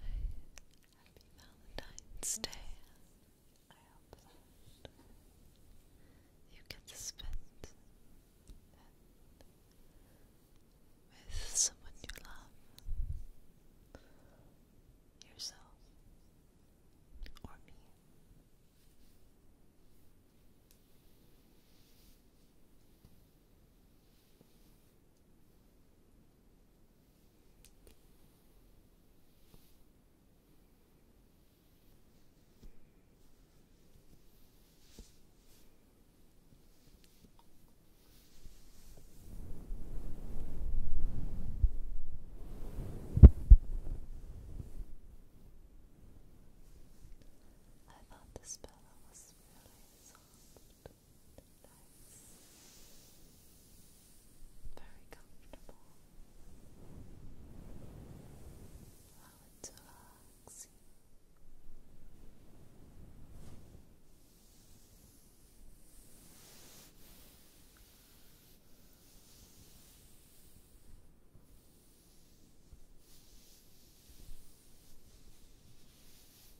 Happy Valentine's Day. I hope you get to spend with someone you love, yourself, or me. I thought the spell was really soft nice, very comfortable. Allow it to you. Relax.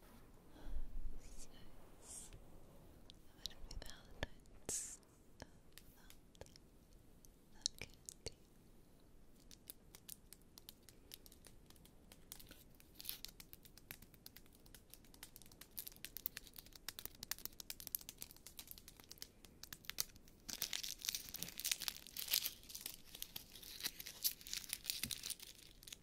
It's nice. But be Valentine's. Not,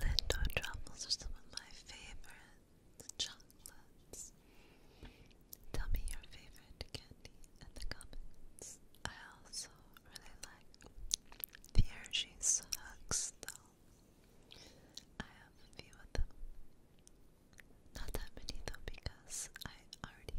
Lindor truffles are some of my favorite chocolates. Tell me your favorite candy in the comments. I also really like the Hershey's hugs though. I have a few of them. Not that many though because I already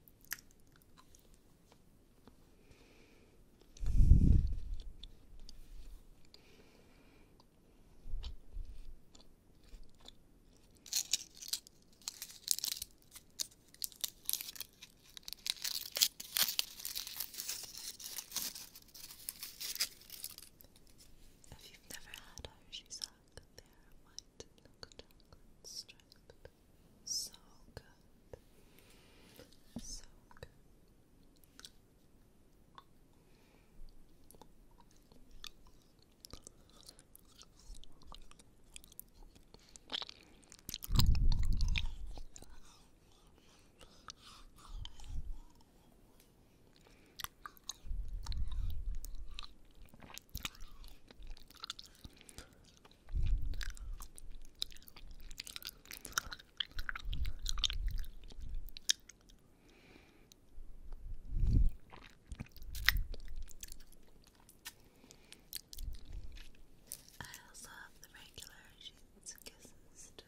If you've never had Hershey's Hawk, they are white milk chocolate striped so good. So good. I also have the regular sheets and kisses too.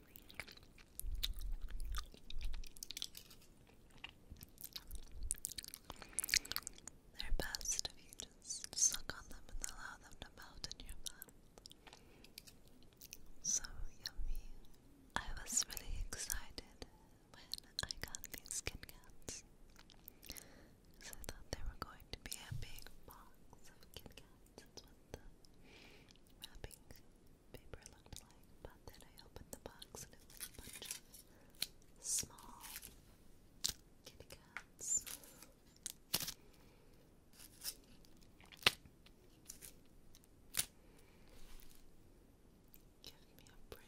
They're best if you just suck on them and allow them to melt in your mouth. So yummy. I was really excited when I got these Kit Kats. I thought they were going to be a big box of Kit Kats. the wrapping paper looked like, but then I opened the box and it was a bunch of small kitty cats. Give me a break.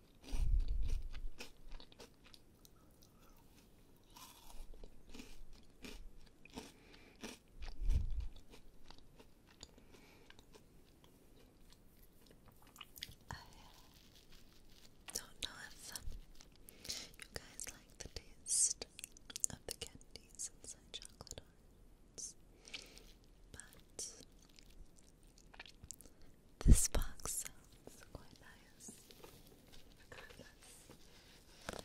I don't know if you guys like the taste of the candies inside chocolate hearts, but this box sounds quite nice. Regardless. I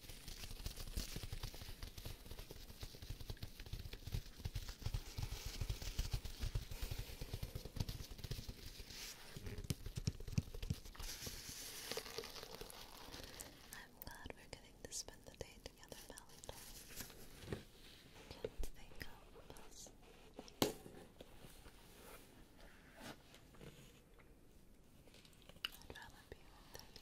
I'm glad we're getting to spend the day together, Valentine. Can't think of us. I'd rather be with you.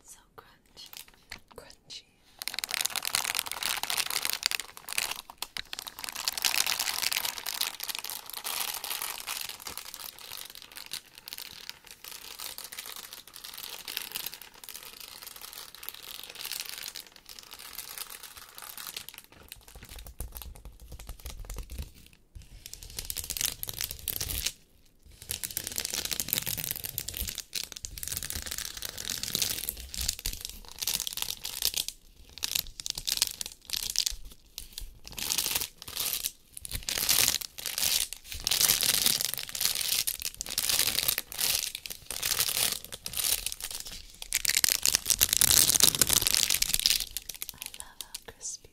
It's so crunchy. Crunchy. I love how crispy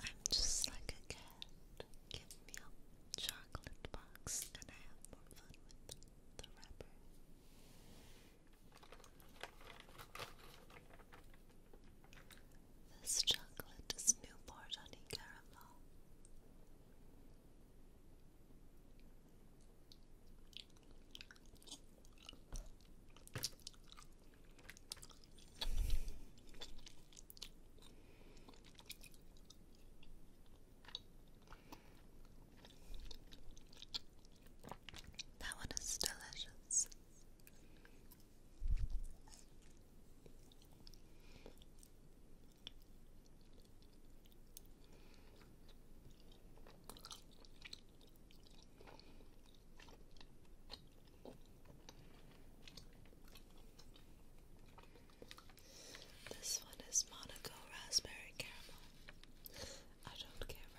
I'm just like a cat. Give me a chocolate box and I have more fun with the wrapper. This chocolate is Newport Honey Caramel. That one is delicious. This one is Monaco Raspberry Caramel. I don't care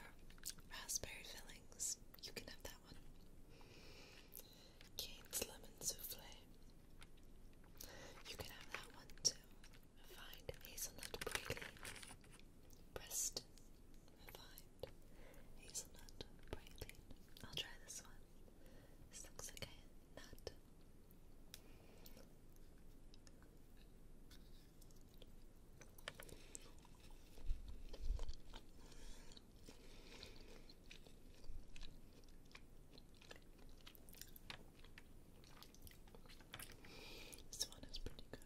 for raspberry fillings. You can have that one. Kate's Lemon Souffle. You can have that one too. Refined Hazelnut Praline. Preston. Refined hazelnut, praline. I'll try this one. looks like a This one is pretty good.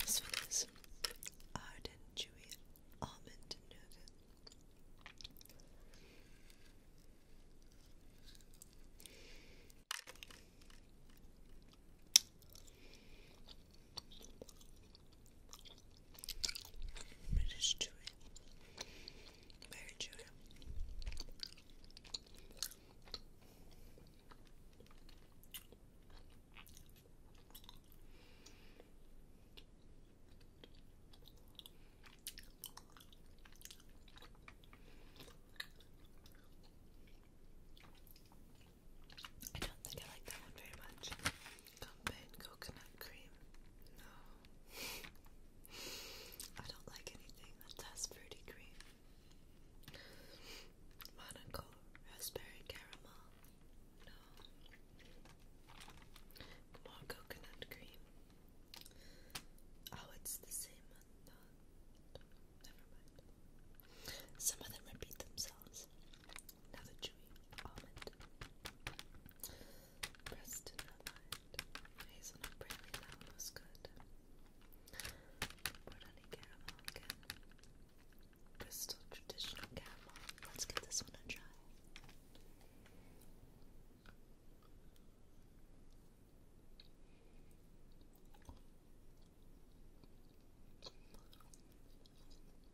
This one is Arden Chewy Almond Nougat. It is chewy. Very chewy. I don't think I like that one very much. Combined coconut cream. No. I don't like anything that has fruity cream. Monaco raspberry caramel. No. More coconut cream. Oh, it's the same one. Never mind. Some of them repeat themselves. Another chewy almond. Breast in Hazelnut brandy now was caramel again. traditional caramel. Let's get this one a try.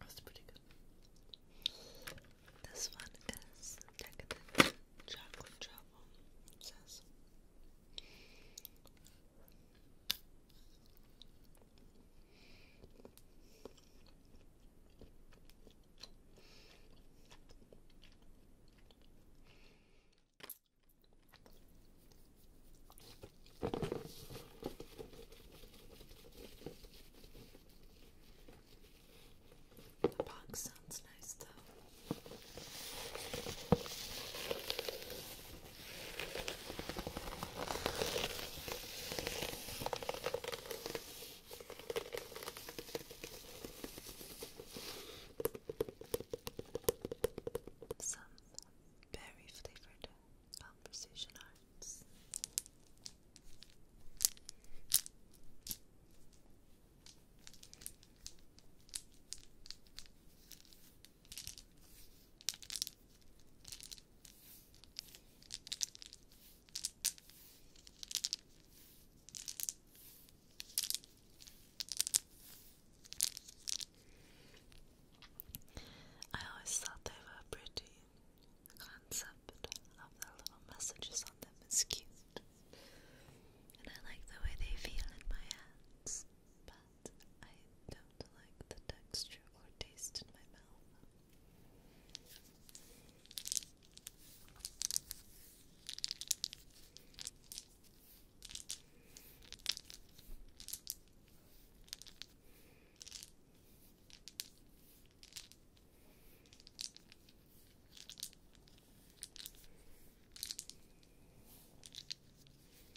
That's pretty This one is decadent chocolate trouble. The box sounds nice though. Some berry flavored conversation arts. I always thought they were pretty. The concept of the little messages on them is cute. And I like the way they feel in my hands. I don't like the texture or taste in my mouth.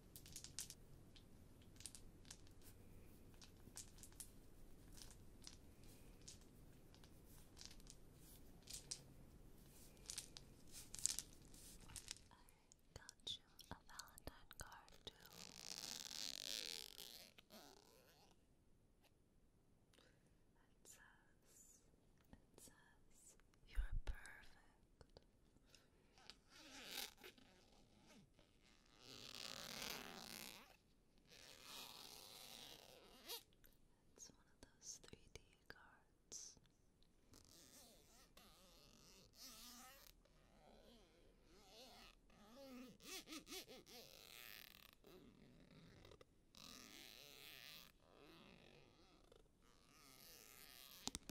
I got you a Valentine card too. It says, it says, you're perfect. It's one of those 3D cards.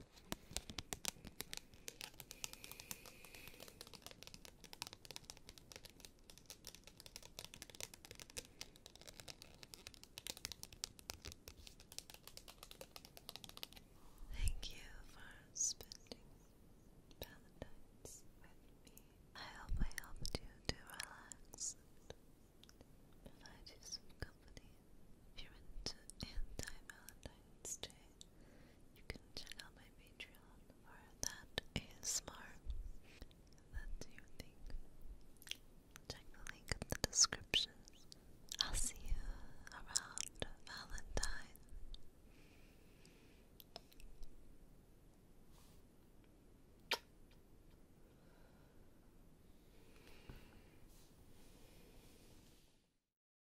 Thank you for spending Valentine's with me. I hope I helped you to relax and provide you company. you into anti Valentine's Day you can check out my Patreon for that ASMR that you think. Check the link in the description. I'll see you around Valentine.